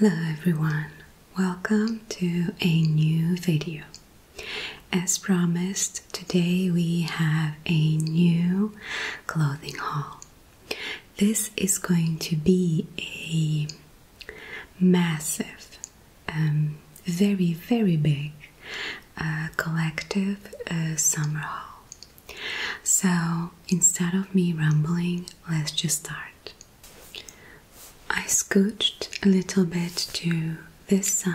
Hello everyone, welcome to a new video. As promised, today we have a new clothing haul. This is going to be a massive, um, very, very big collective uh, summer hall. So instead of me rambling, let's just start. I scooched a little bit to this side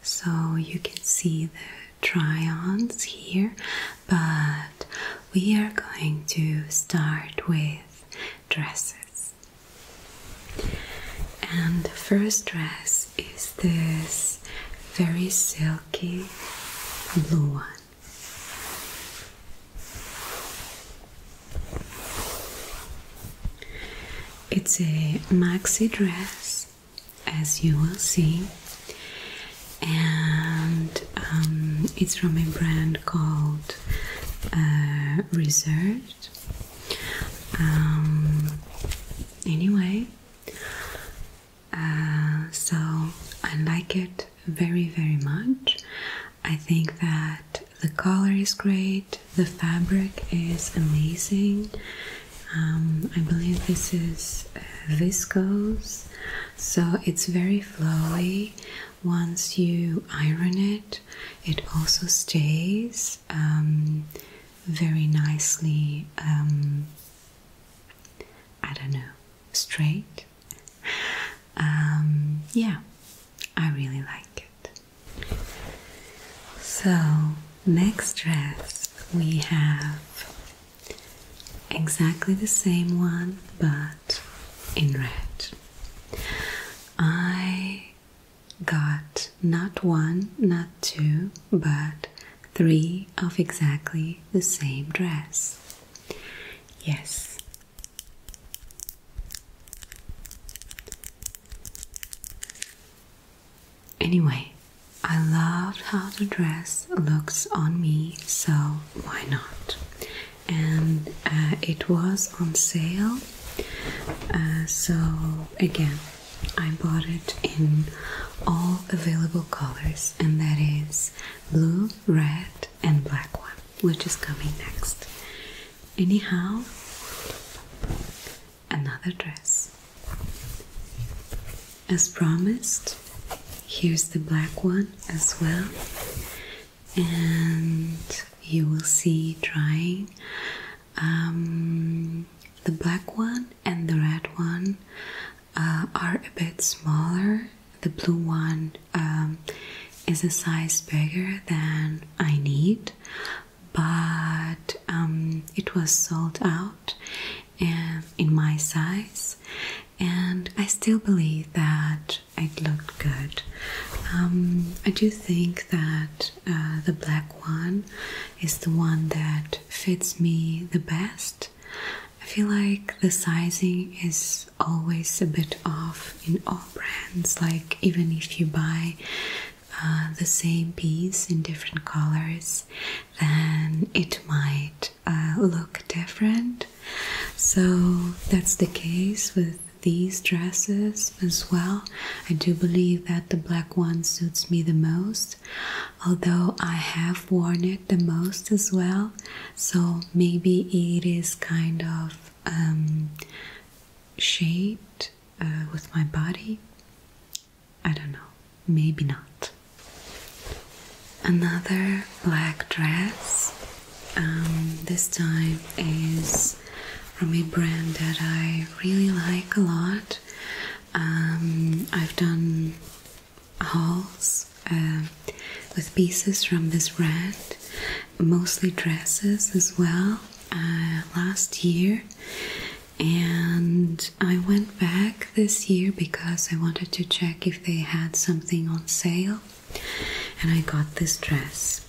so you can see the try ons here, but we are going to start with dresses. And the first dress is this very silky blue one. It's a maxi dress, as you will see, and um, it's from a brand called uh, reserved. Um, anyway, uh, so I like it very, very much. I think that the color is great, the fabric is amazing. Um, I believe this is uh, viscose, so it's very flowy, once you iron it, it also stays um, very nicely. Um, I don't know, straight. Um, yeah, I really like it. So, next dress we have exactly the same one but in red. I got not one, not two, but three of exactly the same dress. Yes. Anyway, I loved how the dress looks on me, so why not? and uh, it was on sale. Uh, so, again, I bought it in all available colors, and that is blue, red, and black one, which is coming next. Anyhow, another dress. As promised, here's the black one as well and you will see trying um, the black one and the red one uh, are a bit smaller the blue one um, is a size bigger than I need but um, it was sold out uh, in my size and I still believe that it looked good. Um, I do think that uh, the black one is the one that fits me the best. I feel like the sizing is always a bit off in all brands, like, even if you buy uh, the same piece in different colors, then it might uh, look different. So that's the case with these dresses as well. I do believe that the black one suits me the most, although I have worn it the most as well. So maybe it is kind of um, shaped uh, with my body. I don't know, maybe not. Another black dress. Um, this time is from a brand that I really like a lot. Um, I've done hauls uh, with pieces from this brand, mostly dresses as well, uh, last year. And I went back this year because I wanted to check if they had something on sale and I got this dress.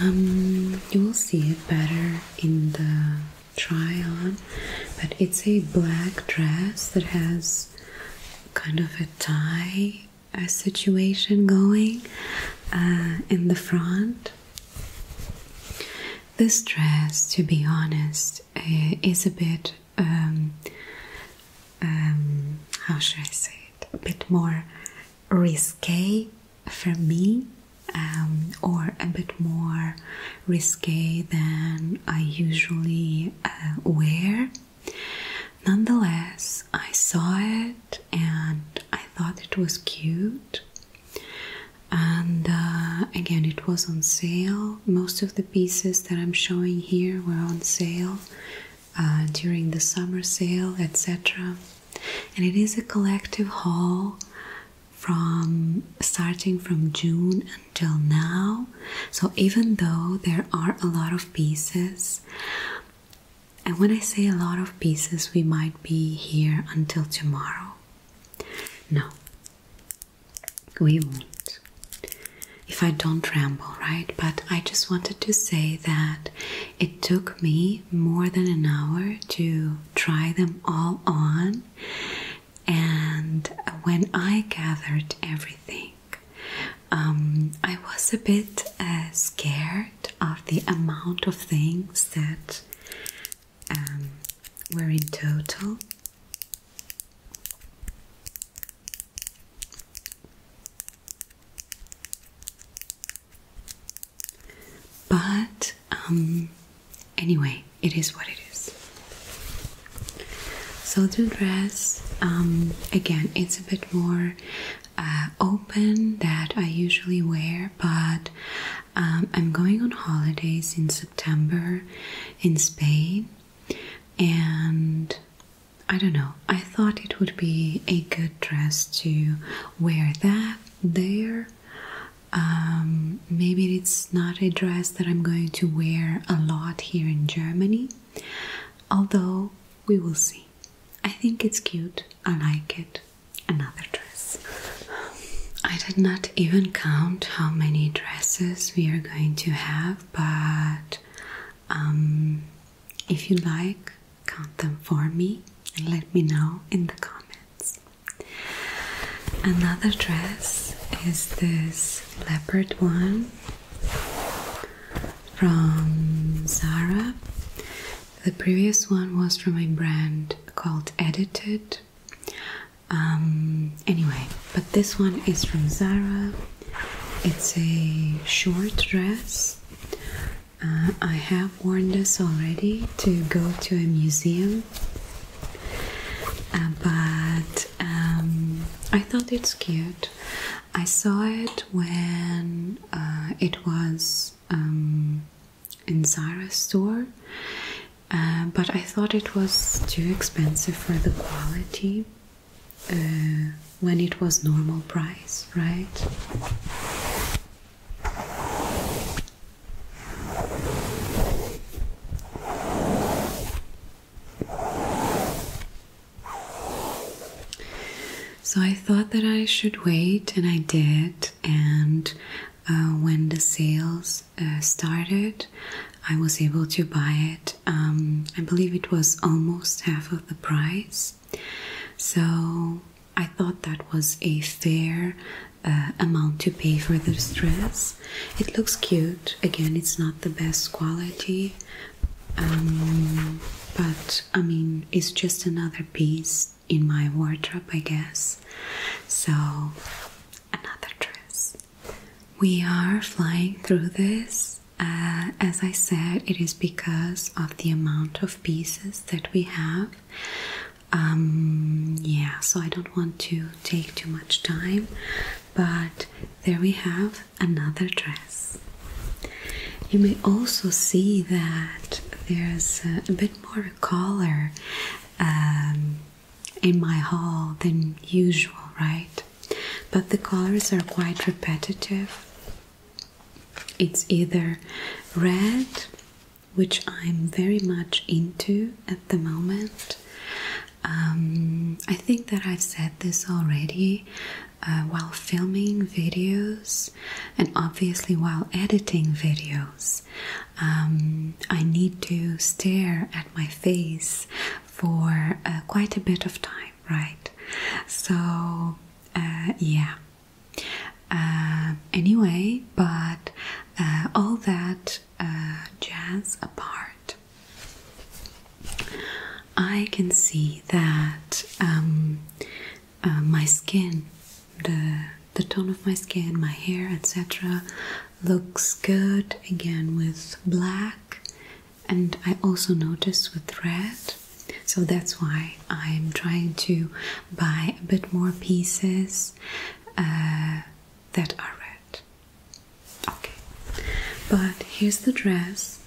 Um, you will see it better in the try on, but it's a black dress that has kind of a tie a situation going uh, in the front. This dress, to be honest, eh, is a bit um, um, how should I say it, a bit more risque for me, um, or a bit more risque than I usually uh, wear. Nonetheless, I saw it and I thought it was cute. And uh, again, it was on sale. Most of the pieces that I'm showing here were on sale uh, during the summer sale, etc. And it is a collective haul from starting from June until now. So even though there are a lot of pieces, and when I say a lot of pieces, we might be here until tomorrow. No, we won't if I don't ramble, right? But I just wanted to say that it took me more than an hour to try them all on, and when I gathered everything, um, I was a bit uh, scared of the amount of things that um, were in total. But um, anyway, it is what it is. So the dress, um, again, it's a bit more uh, open that I usually wear, but um, I'm going on holidays in September in Spain, and I don't know. I thought it would be a good dress to wear that there. Um, maybe it's not a dress that I'm going to wear a lot here in Germany, although we will see. I think it's cute. I like it. Another dress. I did not even count how many dresses we are going to have, but um, if you like, count them for me and let me know in the comments. Another dress is this leopard one from Zara. The previous one was from a brand called Edited. Um, anyway, but this one is from Zara. It's a short dress uh, I have warned us already to go to a museum, uh, but um, I thought it's cute. I saw it when uh, it was um, in Zara's store, but I thought it was too expensive for the quality. Uh, when it was normal price, right? So I thought that I should wait, and I did. And uh, when the sales uh, started, I was able to buy it. Um, I believe it was almost half of the price. So I thought that was a fair uh, amount to pay for this dress. It looks cute. Again, it's not the best quality, um, but I mean, it's just another piece in my wardrobe, I guess. So, another dress. We are flying through this. Uh, as I said, it is because of the amount of pieces that we have. Um, yeah, so I don't want to take too much time, but there we have another dress. You may also see that there's a bit more color um, in my haul than usual, right? But the colors are quite repetitive. It's either red, which I'm very much into at the moment. Um, I think that I've said this already uh, while filming videos and obviously while editing videos. Um, I need to stare at my face for uh, quite a bit of time, right? So, uh, yeah. Uh, anyway, but uh, all that jazz apart, I can see that um, my skin, the the tone of my skin, my hair, etc., looks good again with black and I also noticed with red, so that's why I'm trying to buy a bit more pieces uh, that are red. Okay, but here's the dress.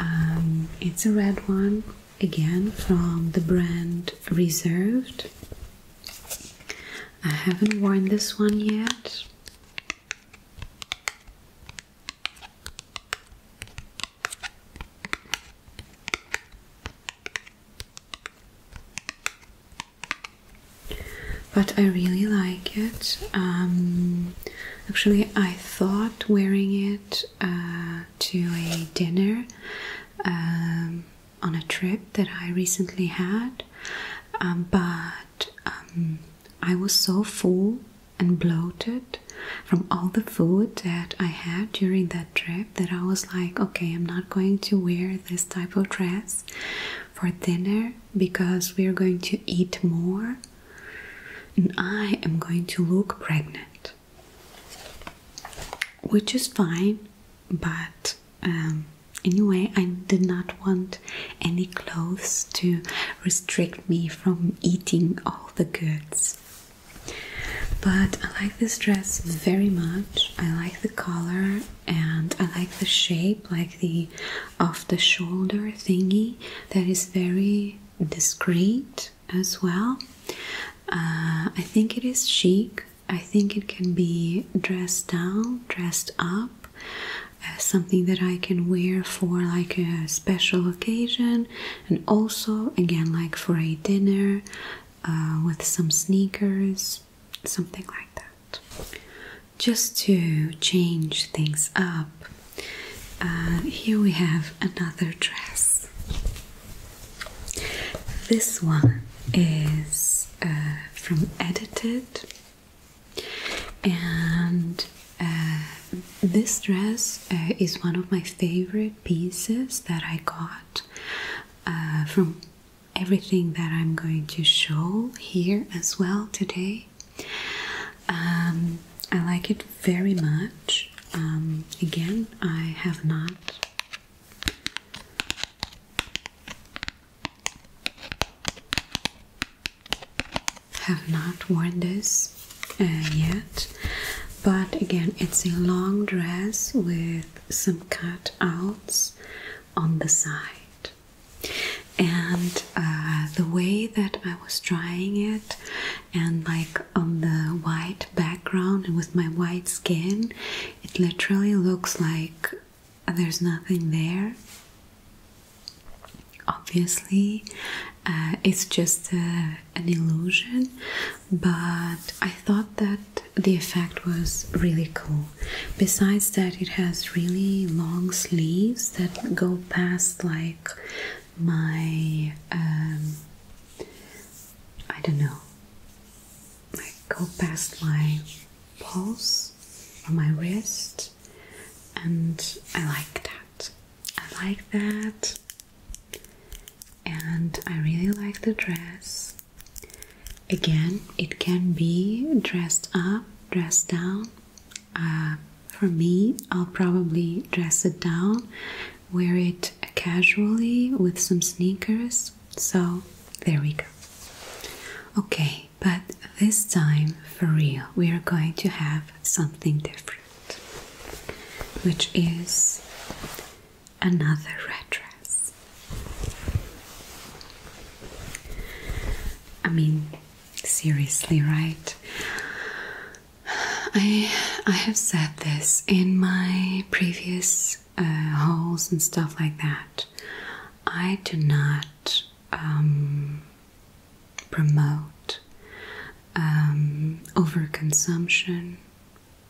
Um, it's a red one again from the brand Reserved. I haven't worn this one yet. But I really like it. Um, actually, I thought wearing it uh, to a dinner um, on a trip that I recently had, um, but I was so full and bloated from all the food that I had during that trip that I was like, okay, I'm not going to wear this type of dress for dinner because we are going to eat more and I am going to look pregnant. Which is fine, but um, anyway, I did not want any clothes to restrict me from eating the goods. But I like this dress very much. I like the color and I like the shape, like the off the shoulder thingy that is very discreet as well. Uh, I think it is chic. I think it can be dressed down, dressed up. Uh, something that I can wear for like a special occasion, and also again, like for a dinner uh, with some sneakers, something like that. Just to change things up, uh, here we have another dress. This one is from Edited, and uh, this dress uh, is one of my favorite pieces that I got uh, from everything that I'm going to show here as well today. Um, I like it very much. Um, again, I have not have not worn this uh, yet, but again, it's a long dress with some cutouts on the side. And uh, the way that I was trying it, and like on the white background and with my white skin, it literally looks like there's nothing there obviously uh, it's just uh, an illusion but i thought that the effect was really cool besides that it has really long sleeves that go past like my um, i don't know go past my pulse or my wrist and I like that. I like that, and I really like the dress. Again, it can be dressed up, dressed down. Uh, for me, I'll probably dress it down, wear it casually with some sneakers. So there we go. Okay, but this time for real, we are going to have something different which is another red dress. I mean, seriously, right? I I have said this in my previous uh, and stuff like that. I do not um, promote um, overconsumption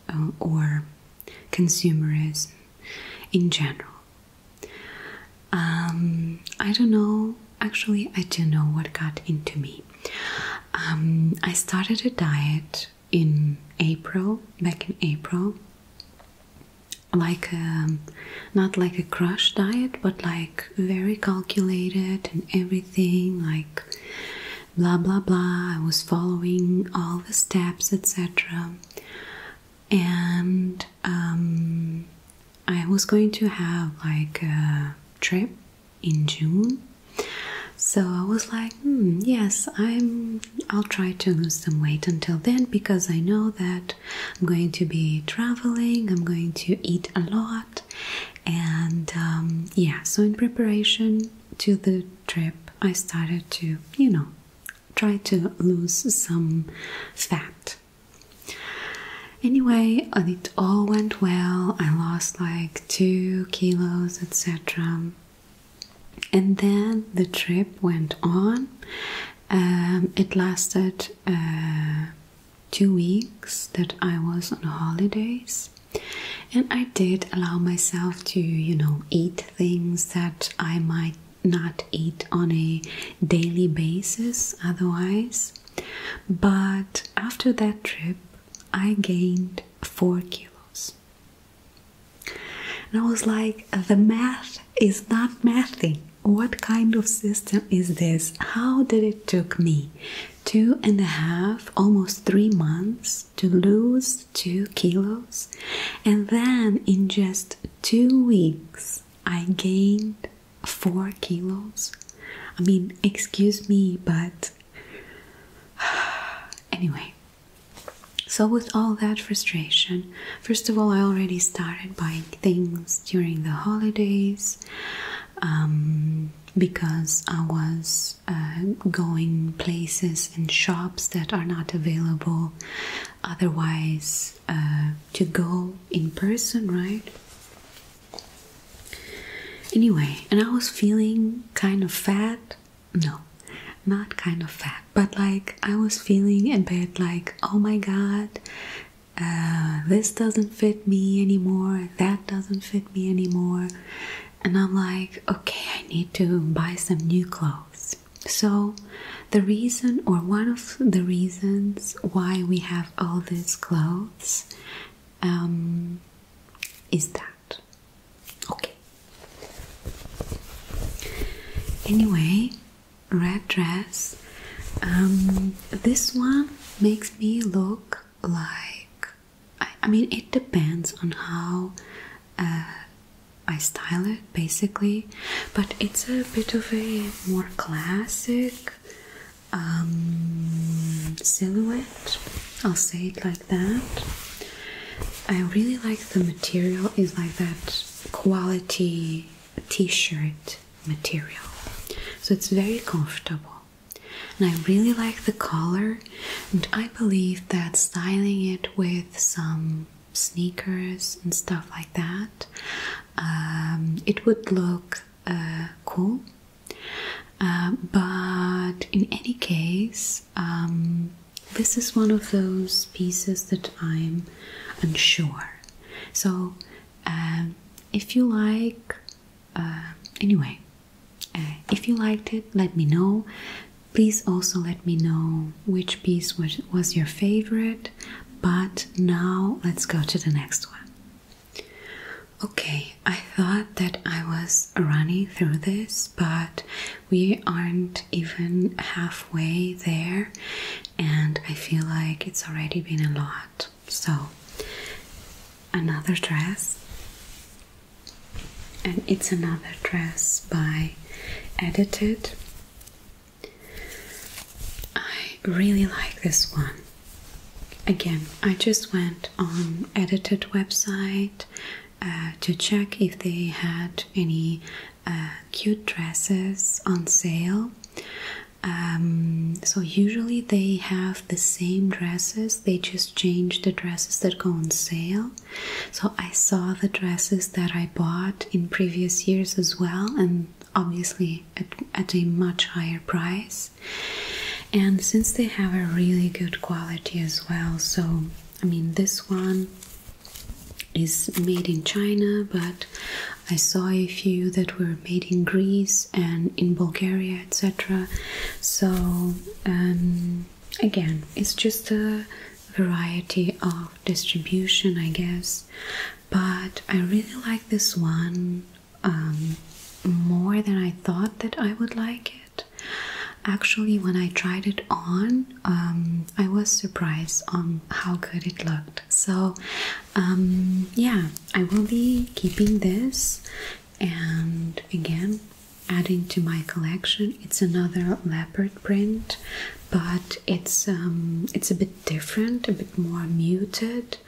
uh, or consumerism in general. Um, I don't know, actually, I don't know what got into me. Um, I started a diet in April, back in April, like um, not like a crash diet, but like very calculated and everything, like blah blah blah. I was following all the steps, etc. And um, I was going to have like a trip in June, so I was like, hmm, yes, I'm. I'll try to lose some weight until then because I know that I'm going to be traveling. I'm going to eat a lot. And um, yeah, so in preparation to the trip, I started to, you know, try to lose some fat. Anyway, and it all went well. I lost like two kilos, etc. And then the trip went on. Um, it lasted uh, two weeks that I was on holidays. And I did allow myself to, you know, eat things that I might not eat on a daily basis otherwise. But after that trip, I gained four kilos. And I was like, the math is not mathing what kind of system is this? How did it took me two and a half, almost three months to lose two kilos? And then in just two weeks, I gained four kilos. I mean, excuse me, but anyway. So, with all that frustration, first of all, I already started buying things during the holidays. Um, because I was uh, going places and shops that are not available otherwise uh, to go in person, right? Anyway, and I was feeling kind of fat. No, not kind of fat, but like I was feeling a bit like, oh my god, uh, this doesn't fit me anymore, that doesn't fit me anymore. And I'm like, okay, I need to buy some new clothes. So, the reason, or one of the reasons why we have all these clothes um, is that. Okay. Anyway, red dress um, this one makes me look like I, mean, it depends on how uh, I style it basically, but it's a bit of a more classic um, silhouette. I'll say it like that. I really like the material, is like that quality t shirt material. So it's very comfortable. And I really like the color, and I believe that styling it with some sneakers and stuff like that, um, it would look uh, cool. Uh, but in any case, um, this is one of those pieces that I'm unsure. So um, if you like uh, anyway uh, if you liked it let me know please also let me know which piece was your favorite but now let's go to the next one okay i thought that i was running through this but we aren't even halfway there and i feel like it's already been a lot so, another dress, and it's another dress by Edited. I really like this one. Again, I just went on Edited website uh, to check if they had any uh, cute dresses on sale. Um, so usually they have the same dresses, they just change the dresses that go on sale. So I saw the dresses that I bought in previous years as well, and obviously at a much higher price. And since they have a really good quality as well, so I mean, this one is made in China, but I saw a few that were made in Greece and in Bulgaria, etc. So, um, again, it's just a variety of distribution, I guess. But I really like this one um, more than I thought that I would like it. Actually, when I tried it on, um, I was surprised on how good it looked. So um, yeah, I will be keeping this and again adding to my collection. It's another leopard print, but it's um, it's a bit different, a bit more muted.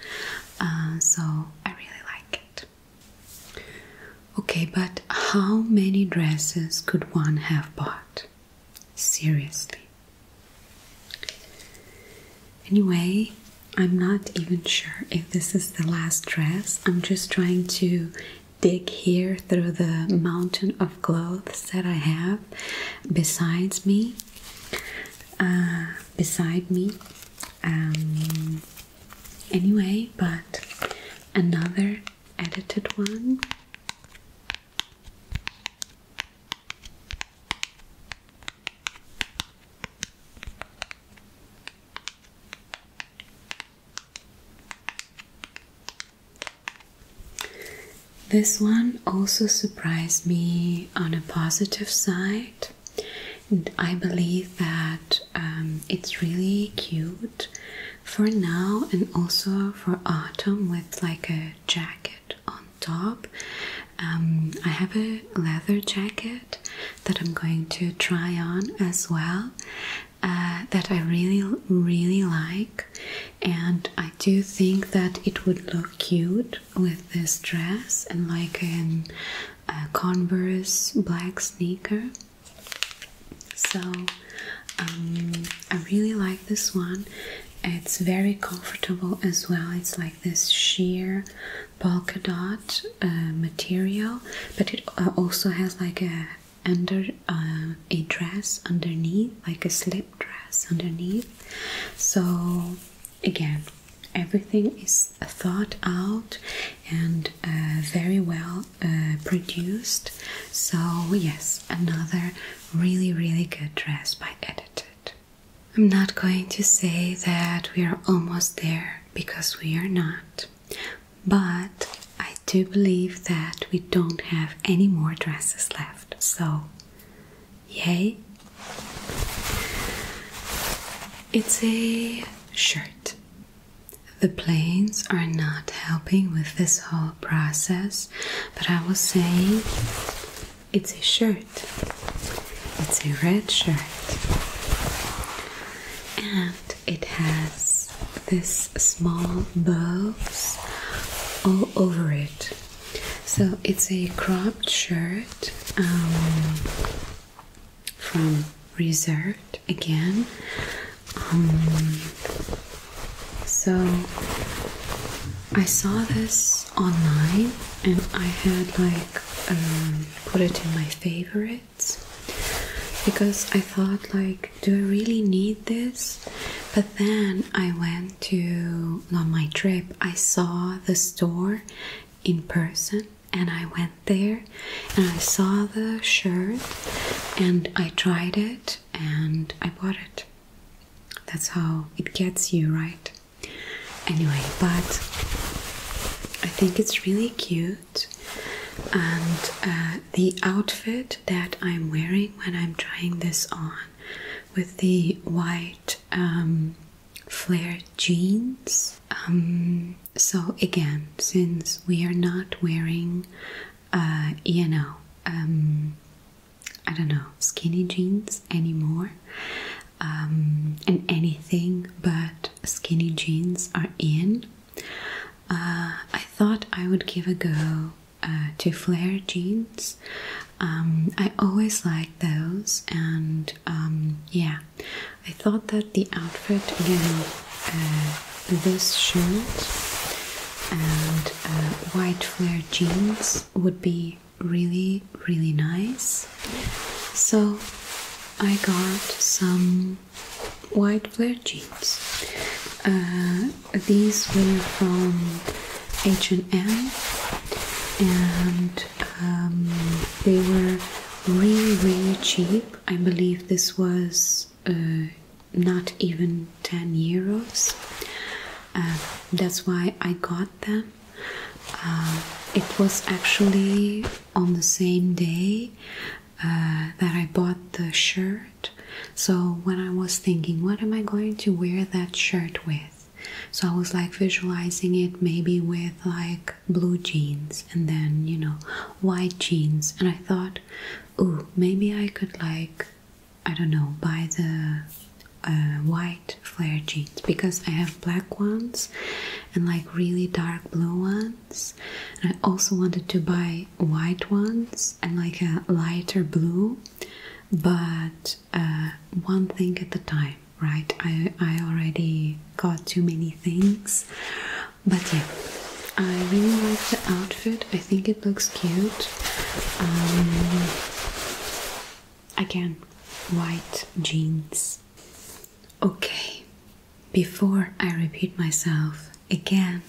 Uh, so I really like it. Okay, but how many dresses could one have bought? Seriously. Anyway, I'm not even sure if this is the last dress. I'm just trying to dig here through the mountain of clothes that I have besides me. Uh, beside me. Um, anyway, but another edited one. This one also surprised me on a positive side, and I believe that um, it's really cute for now and also for autumn with like a jacket on top. Um, I have a leather jacket that I'm going to try on as well. Uh, that I really, really like, and I do think that it would look cute with this dress and like a Converse black sneaker. So um, I really like this one, it's very comfortable as well. It's like this sheer polka dot uh, material, but it uh, also has like a under uh, a dress underneath, like a slip dress underneath. So again, everything is thought out and very well produced. So yes, another really really good dress by Edited. I'm not going to say that we are almost there because we are not, but I do believe that we don't have any more dresses left, so yay! It's a shirt. The planes are not helping with this whole process, but I will say. It's a shirt. It's a red shirt. And it has this small bows all over it. So it's a cropped shirt um, from Reserved again. Um, so I saw this online and I had like um, put it in my favorites because I thought like do I really need this but then I went to on my trip I saw the store in person and I went there and I saw the shirt and I tried it and I bought it that's how it gets you right Anyway, but I think it's really cute, and uh, the outfit that I'm wearing when I'm trying this on with the white um, flared jeans. Um, so, again, since we are not wearing, you uh, know, I don't know, skinny jeans anymore, um, and anything but skinny jeans are in. Uh, I thought I would give a go uh, to flare jeans. Um, I always like those, and um, yeah, I thought that the outfit again, uh, this shirt and white flare jeans would be really, really nice. So I got some white flare jeans. Uh, these were from H&M and um, they were really, really cheap. I believe this was uh, not even 10 euros. Uh, that's why I got them. Uh, it was actually on the same day uh, that I bought the shirt. So when I was thinking, what am I going to wear that shirt with? So I was like visualizing it maybe with like blue jeans and then, you know, white jeans. And I thought, ooh, maybe I could like, I don't know, buy the uh, white flare jeans because I have black ones and like really dark blue ones. I also wanted to buy white ones and like a lighter blue, but uh, one thing at a time, right? I, I already got too many things, but yeah. I really like the outfit. I think it looks cute. Um, Again, white jeans. Okay, before I repeat myself again,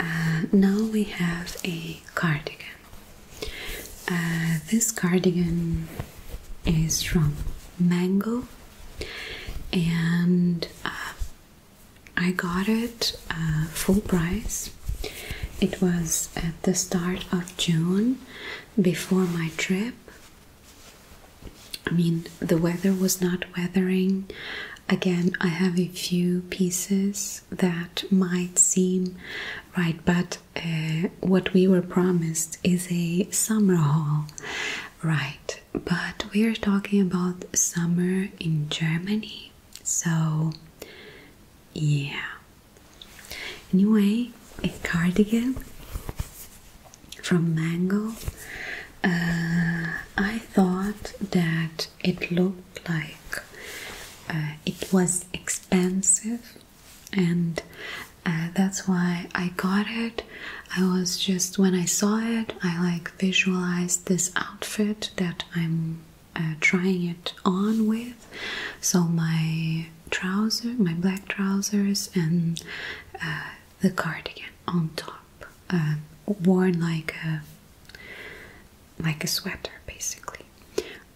uh, now we have a cardigan. Uh, this cardigan is from Mango and uh, I got it full price it was at the start of June before my trip. I mean, the weather was not weathering. Again, I have a few pieces that might seem right, but uh, what we were promised is a summer haul, right? But we are talking about summer in Germany, so yeah, Anyway, a cardigan from Mango. Uh, I thought that it looked like uh, it was expensive, and uh, that's why I got it. I was just when I saw it, I like visualized this outfit that I'm uh, trying it on with. So my trousers, my black trousers, and uh, the cardigan on top, uh, worn like a like a sweater basically,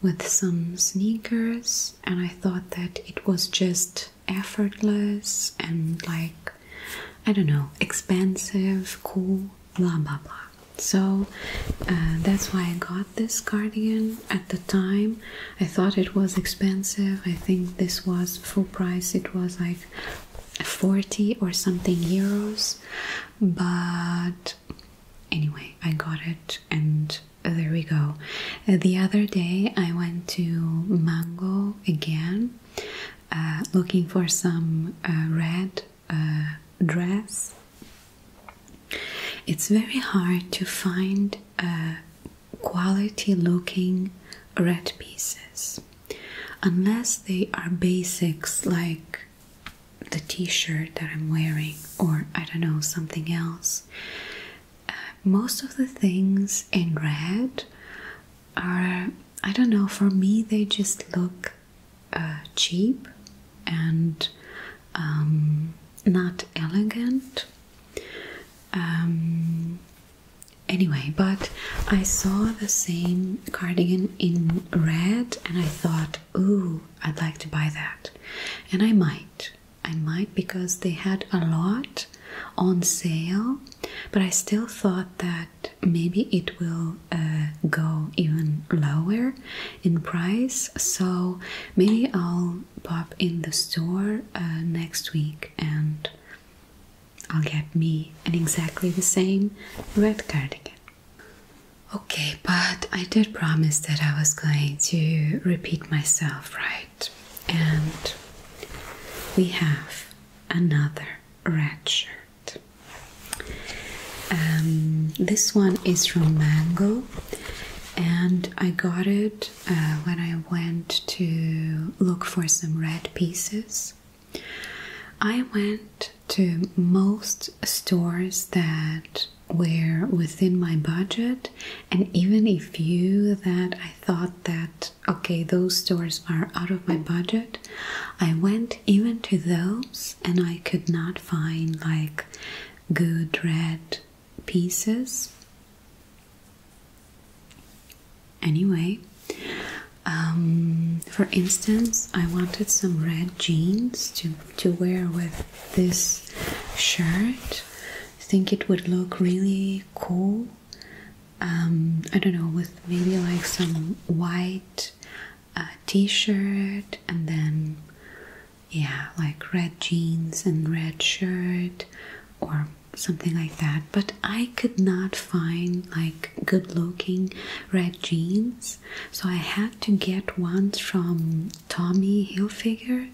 with some sneakers. And I thought that it was just effortless and like I don't know, expensive, cool, blah blah blah so uh, that's why I got this cardigan at the time. I thought it was expensive. I think this was full price, it was like 40 or something euros, but anyway, I got it, and there we go. Uh, the other day, I went to Mango again. Uh, looking for some red dress it's very hard to find uh, quality looking red pieces unless they are basics like the t shirt that I'm wearing, or I don't know, something else. Uh, most of the things in red are, I don't know, for me they just look uh, cheap and um, not elegant. Um, anyway, but I saw the same cardigan in red and I thought, ooh, I'd like to buy that. And I might. I might because they had a lot on sale, but I still thought that maybe it will uh, go even lower in price. So maybe I'll pop in the store uh, next week and I'll get me an exactly the same red cardigan. Okay, but I did promise that I was going to repeat myself, right? And we have another red shirt. Um, this one is from Mango and I got it uh, when I went to look for some red pieces. I went to most stores that were within my budget, and even a few that I thought that okay, those stores are out of my budget. I went even to those, and I could not find like good red pieces. Anyway, um, for instance, I wanted some red jeans to, to wear with this shirt. I think it would look really cool. Um, I don't know, with maybe like some white a t-shirt and then yeah like red jeans and red shirt or something like that but i could not find like good looking red jeans so i had to get ones from tommy hilfiger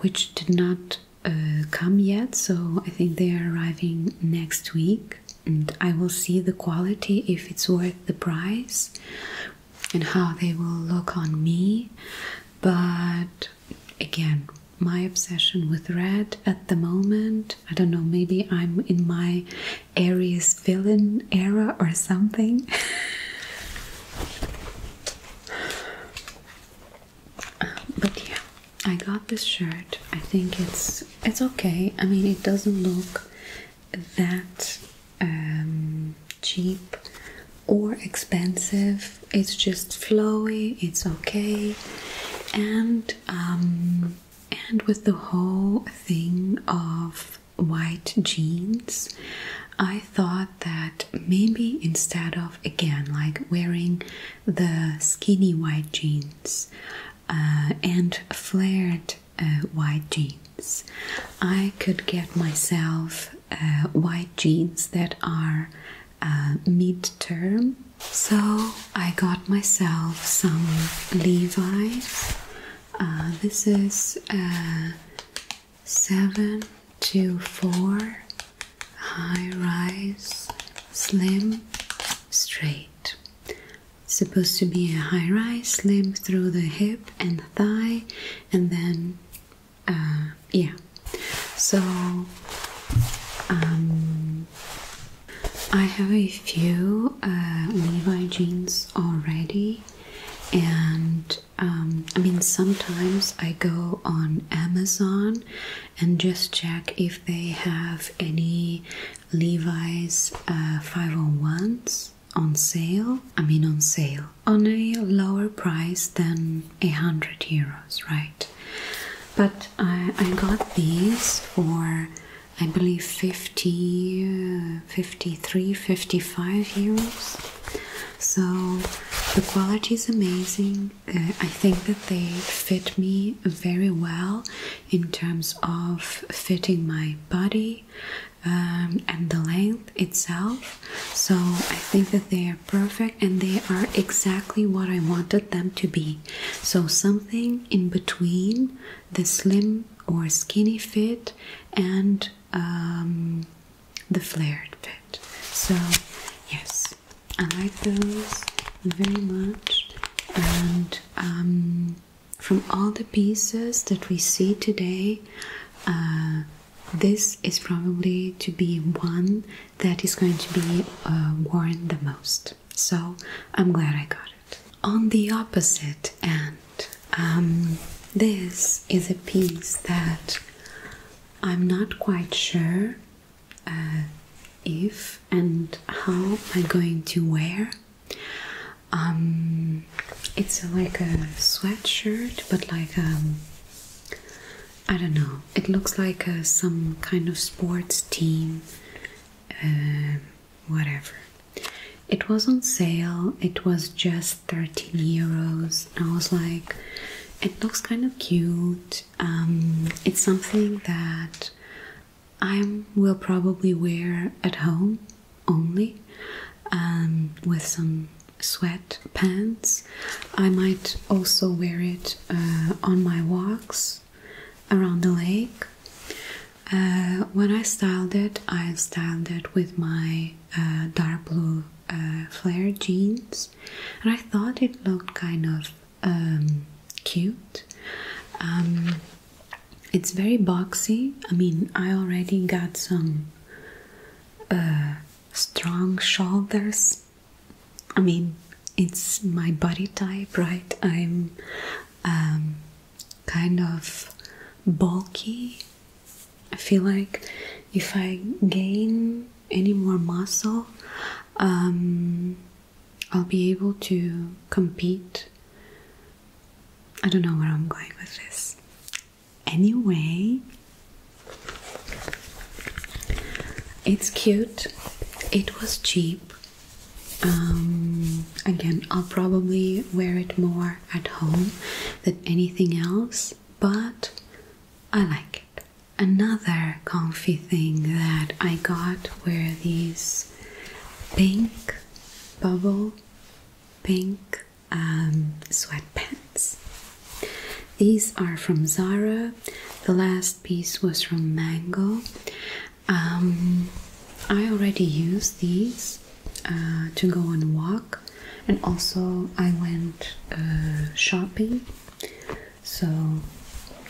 which did not uh, come yet so i think they are arriving next week and i will see the quality if it's worth the price and how they will look on me. But again, my obsession with red at the moment, I don't know, maybe I'm in my Aries villain era or something. but yeah, I got this shirt. I think it's it's okay. I mean, it doesn't look that um, cheap or expensive. It's just flowy. It's okay, and um, and with the whole thing of white jeans, I thought that maybe instead of again like wearing the skinny white jeans uh, and flared uh, white jeans. I could get myself uh, white jeans that are uh, mid term. So I got myself some Levi's. Uh, this is uh, 7 to 4 high rise, slim, straight supposed to be a high rise, slim through the hip and thigh, and then, uh, yeah. So, um, I have a few uh, Levi jeans already, and um, I mean, sometimes I go on Amazon and just check if they have any Levi's 501s. Uh, on sale, I mean on sale, on a lower price than a hundred euros, right? But I, I got these for I believe 50, 53, 55 euros. So the quality is amazing. Uh, I think that they fit me very well in terms of fitting my body, um, and the length itself. So I think that they are perfect and they are exactly what I wanted them to be. So something in between the slim or skinny fit and um, the flared fit. So, yes, I like those very much. And um, from all the pieces that we see today, uh, this is probably to be one that is going to be uh, worn the most. So I'm glad I got it. On the opposite end, um, this is a piece that I'm not quite sure uh, if and how I'm going to wear. Um, it's like a sweatshirt, but like um, I don't know. It looks like uh, some kind of sports team, uh, whatever. It was on sale. It was just thirteen euros. I was like, it looks kind of cute. Um, it's something that I will probably wear at home only, um, with some sweat pants, I might also wear it uh, on my walks around the lake. Uh, when I styled it, I styled it with my uh, dark blue flare jeans, and I thought it looked kind of um, cute. Um, it's very boxy. I mean, I already got some uh, strong shoulders. I mean, it's my body type, right? I'm um, kind of bulky. I feel like if I gain any more muscle, um, I'll be able to compete I don't know where I'm going with this. Anyway, it's cute, it was cheap. Um, again, I'll probably wear it more at home than anything else, but I like it. Another comfy thing that I got were these pink bubble pink um, sweatpants. These are from Zara. The last piece was from Mango. Um, I already used these uh, to go on walk, and also I went uh, shopping. So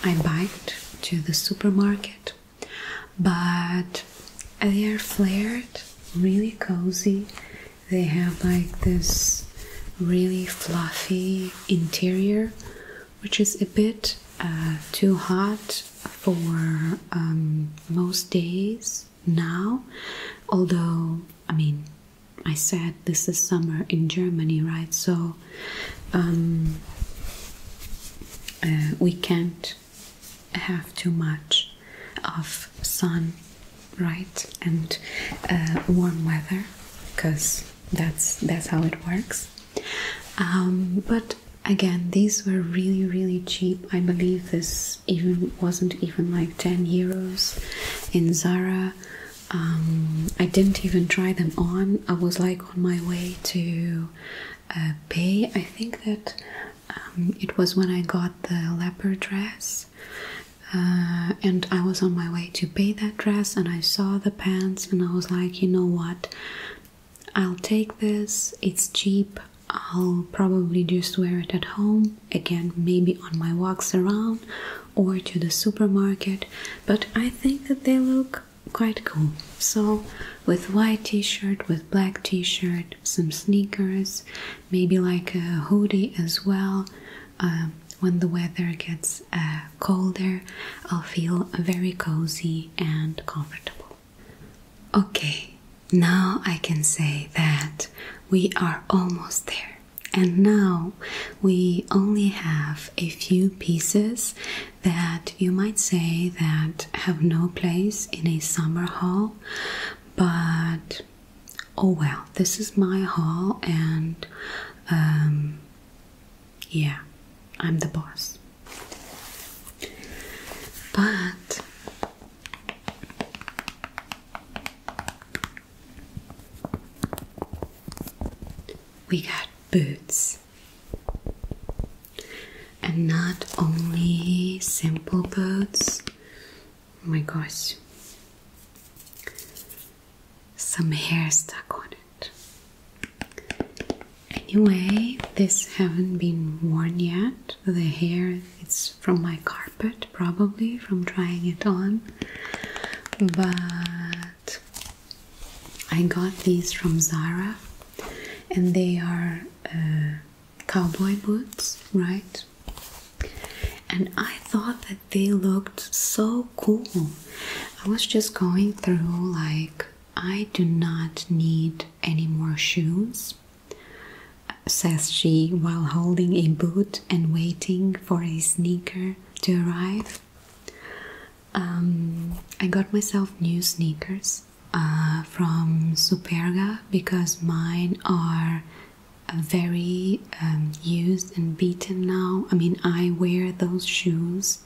I biked to the supermarket but they are flared, really cozy. They have like this really fluffy interior, which is a bit uh, too hot for um, most days now. Although, I mean, I said this is summer in Germany, right? So um, uh, we can't have too much of sun, right, and uh, warm weather, because that's that's how it works. Um, but again, these were really really cheap. I believe this even wasn't even like ten euros in Zara. Um, I didn't even try them on. I was like on my way to uh, pay. I think that um, it was when I got the leopard dress, uh, and I was on my way to pay that dress, and I saw the pants, and I was like, you know what? I'll take this. It's cheap. I'll probably just wear it at home again, maybe on my walks around or to the supermarket. But I think that they look quite cool. So, with white t shirt, with black t shirt, some sneakers, maybe like a hoodie as well. Um, when the weather gets uh, colder, I'll feel very cozy and comfortable. Okay, now I can say that we are almost there. And now we only have a few pieces that you might say that have no place in a summer haul, but oh well, this is my haul, and um, yeah, I'm the boss. But we got boots and not only simple boots. Oh my gosh, some hair stuck on it. Anyway, these haven't been worn yet. The hair it's from my carpet probably from drying it on. But I got these from Zara and they are uh, cowboy boots, right? And I thought that they looked so cool. I was just going through, like, I do not need any more shoes, says she while holding a boot and waiting for a sneaker to arrive. Um, I got myself new sneakers uh, from Superga because mine are very um, used and beaten now. I mean, I wear those shoes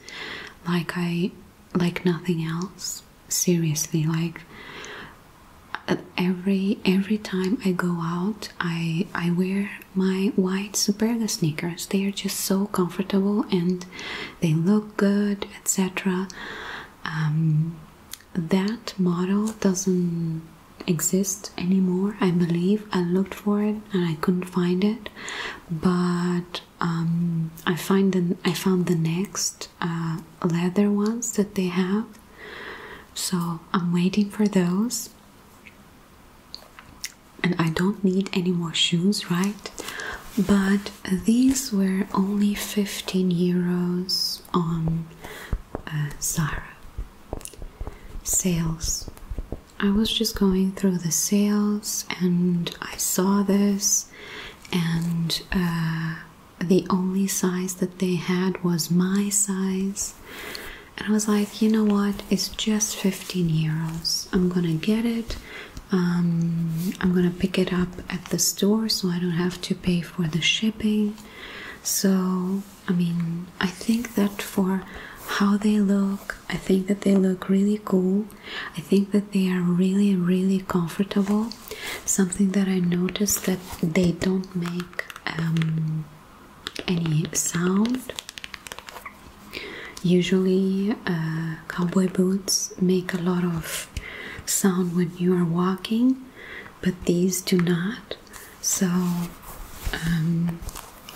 like I like nothing else. Seriously, like every every time I go out, I I wear my white Superga sneakers. They are just so comfortable and they look good, etc. Um, that model doesn't exist anymore, I believe. I looked for it and I couldn't find it, but um, I find the I found the next uh, leather ones that they have. So I'm waiting for those. And I don't need any more shoes, right? But these were only 15 euros on uh, Zara sales. I was just going through the sales and I saw this, and uh, the only size that they had was my size. And I was like, you know what? It's just 15 euros. I'm gonna get it. Um, I'm gonna pick it up at the store so I don't have to pay for the shipping. So, I mean, I think that for how they look, I think that they look really cool. I think that they are really, really comfortable. Something that I noticed that they don't make um, any sound. Usually, uh, cowboy boots make a lot of sound when you are walking, but these do not. So um,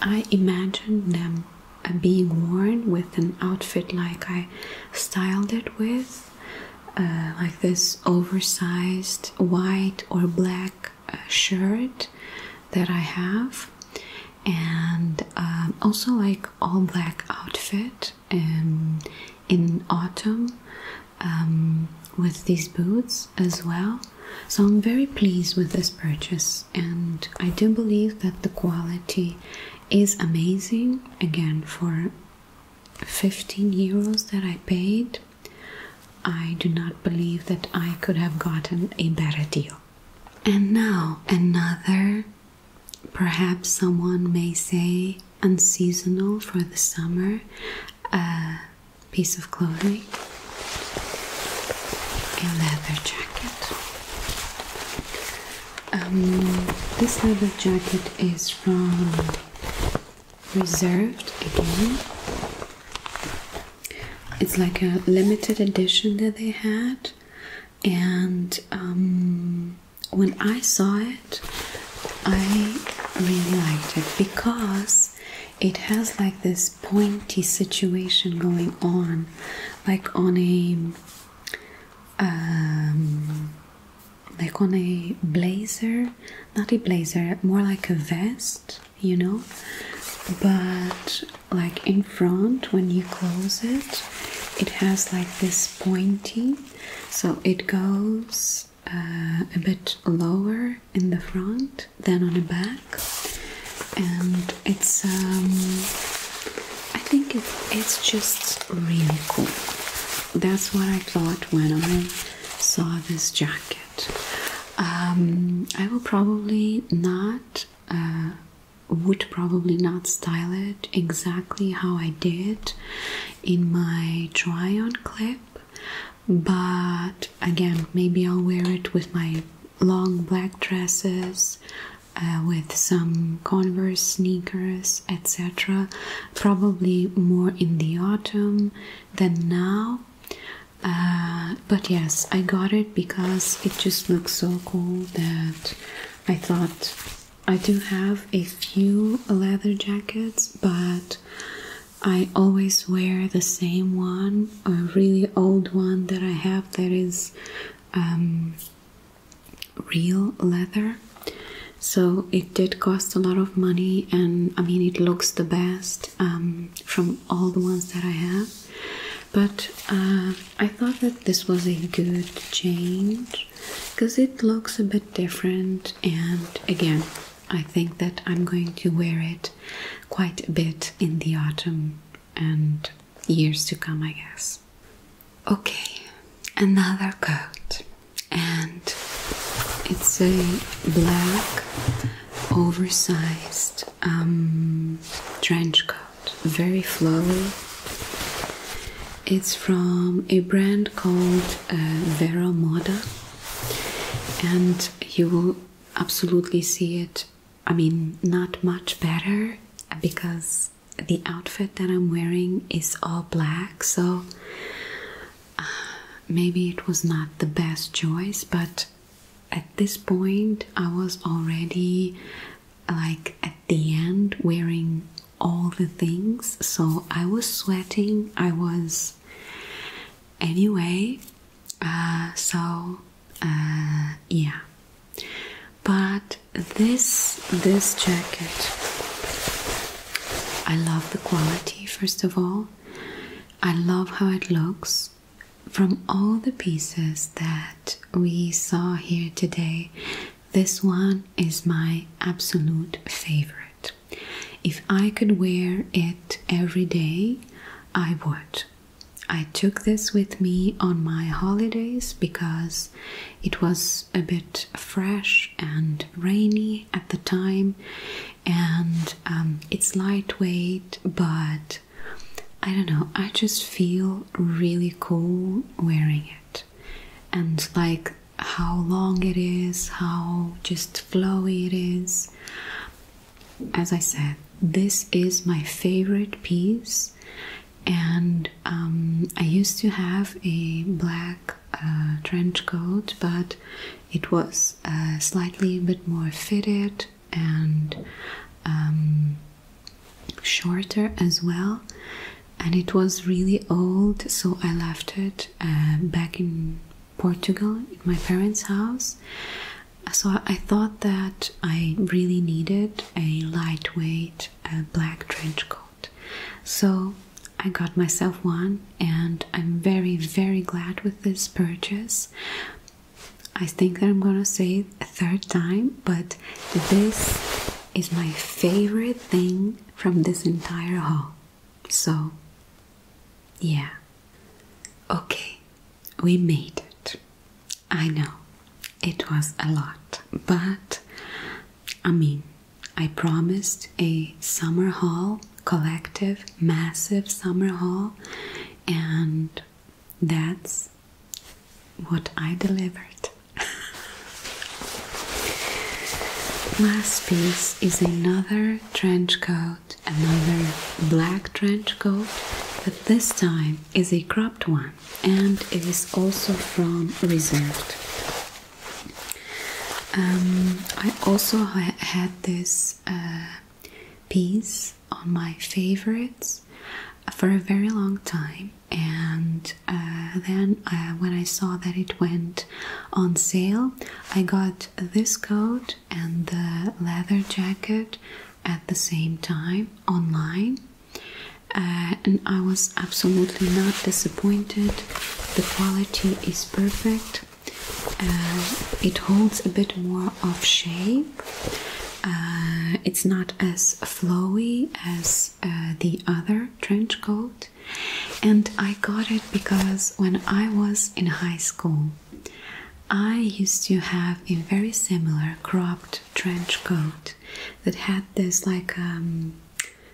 I imagine them uh, being worn with an outfit like I styled it with, uh, like this oversized white or black uh, shirt that I have, and um, also like all black outfit. Um, in autumn um, with these boots as well. So I'm very pleased with this purchase, and I do believe that the quality is amazing again for 15 euros that I paid. I do not believe that I could have gotten a better deal. And now, another Perhaps someone may say unseasonal for the summer a piece of clothing, a leather jacket. Um, this leather jacket is from Reserved again. It's like a limited edition that they had, and um, when I saw it, I really liked it because it has like this pointy situation going on, like on a um, like on a blazer, not a blazer, more like a vest, you know. But like in front, when you close it, it has like this pointy so it goes uh, a bit lower in the front than on the back, and it's um, I think it's just really cool. That's what I thought when I saw this jacket. Um, I will probably not. Uh, would probably not style it exactly how I did in my try on clip, but again, maybe I'll wear it with my long black dresses. Uh, with some Converse sneakers, etc., probably more in the autumn than now. Uh, but yes, I got it because it just looks so cool that I thought I do have a few leather jackets, but I always wear the same one, a really old one that I have that is um, real leather. So it did cost a lot of money, and I mean, it looks the best um, from all the ones that I have. But uh, I thought that this was a good change because it looks a bit different and again I think that I'm going to wear it quite a bit in the autumn and years to come I guess. Okay, another coat and it's a black oversized um, trench coat, very flowy it's from a brand called uh, Vera Moda, and you will absolutely see it. I mean, not much better because the outfit that I'm wearing is all black, so uh, maybe it was not the best choice, but at this point, I was already like at the end wearing all the things. So I was sweating, I was anyway. Uh, so uh, yeah, but this this jacket, I love the quality first of all. I love how it looks. From all the pieces that we saw here today, this one is my absolute favorite. If I could wear it every day, I would. I took this with me on my holidays because it was a bit fresh and rainy at the time, and um, it's lightweight, but I don't know, I just feel really cool wearing it and like how long it is, how just flowy it is. As I said, this is my favorite piece, and um, I used to have a black uh, trench coat, but it was uh, slightly a bit more fitted and um, shorter as well and it was really old so i left it uh, back in portugal in my parents house so i thought that i really needed a lightweight uh, black trench coat so i got myself one and i'm very very glad with this purchase i think that i'm gonna say it a third time but this is my favorite thing from this entire haul. So, yeah. Okay, we made it. I know it was a lot, but I mean, I promised a summer haul, collective, massive summer haul, and that's what I delivered. Last piece is another trench coat, another black trench coat, but this time is a cropped one and it is also from Reserved. Um, I also had this uh, piece on my favorites for a very long time and uh, then uh, when I saw that it went on sale, I got this coat and the leather jacket at the same time online, uh, and I was absolutely not disappointed. The quality is perfect, it holds a bit more of shape. it's not as flowy as the other trench coat, and I got it because when I was in high school, I used to have a very similar cropped trench coat that had this like um,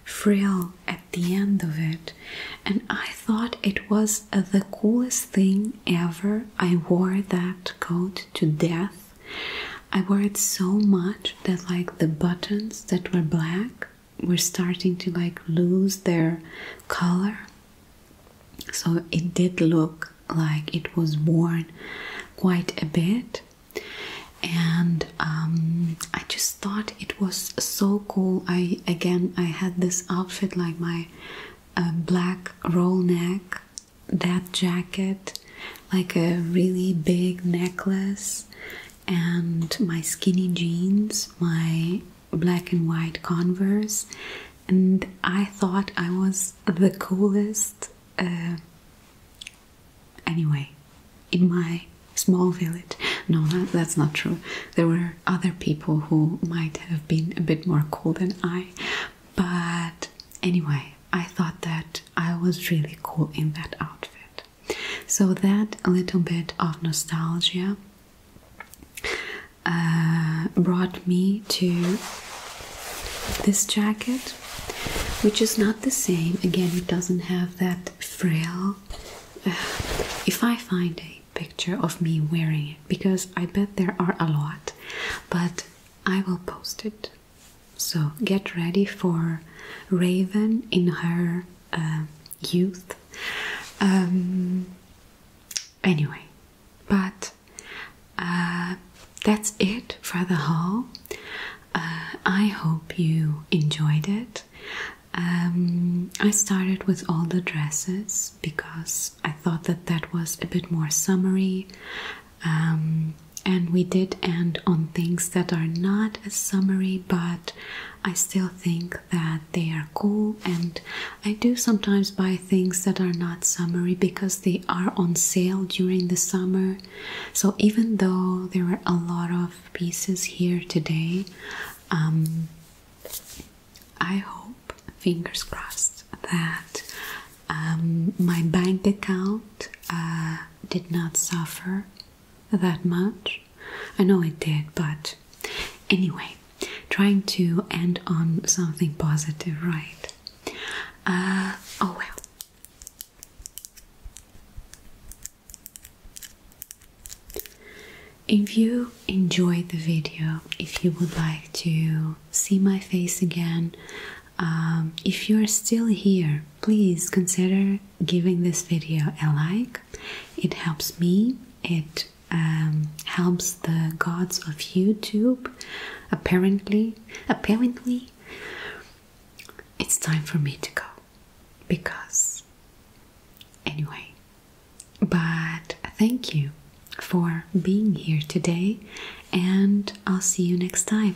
frill at the end of it, and I thought it was the coolest thing ever. I wore that coat to death. I wore it so much that like the buttons that were black were starting to like lose their color. So it did look like it was worn quite a bit. And um, I just thought it was so cool. I again I had this outfit like my uh, black roll neck, that jacket, like a really big necklace and my skinny jeans, my black and white Converse, and I thought I was the coolest. Uh, anyway, in my small village. No, that's not true. There were other people who might have been a bit more cool than I, but Anyway, I thought that I was really cool in that outfit. So, that little bit of nostalgia uh, brought me to this jacket, which is not the same. Again, it doesn't have that frill. Uh, if I find a picture of me wearing it, because I bet there are a lot, but I will post it so get ready for Raven in her uh, youth. Um, anyway, but uh, that's it for the haul. Uh, I hope you enjoyed it. Um, I started with all the dresses because I thought that that was a bit more summery um, and we did end on things that are not a summary, but I still think that they are cool. And I do sometimes buy things that are not summary because they are on sale during the summer. So even though there were a lot of pieces here today, um, I hope, fingers crossed, that um, my bank account. Uh, did not suffer that much. I know it did, but anyway, trying to end on something positive, right? Uh, oh well. If you enjoyed the video, if you would like to see my face again, um, if you are still here, please consider giving this video a like. It helps me. It um, helps the gods of YouTube. Apparently, apparently, it's time for me to go because, anyway. But thank you for being here today, and I'll see you next time.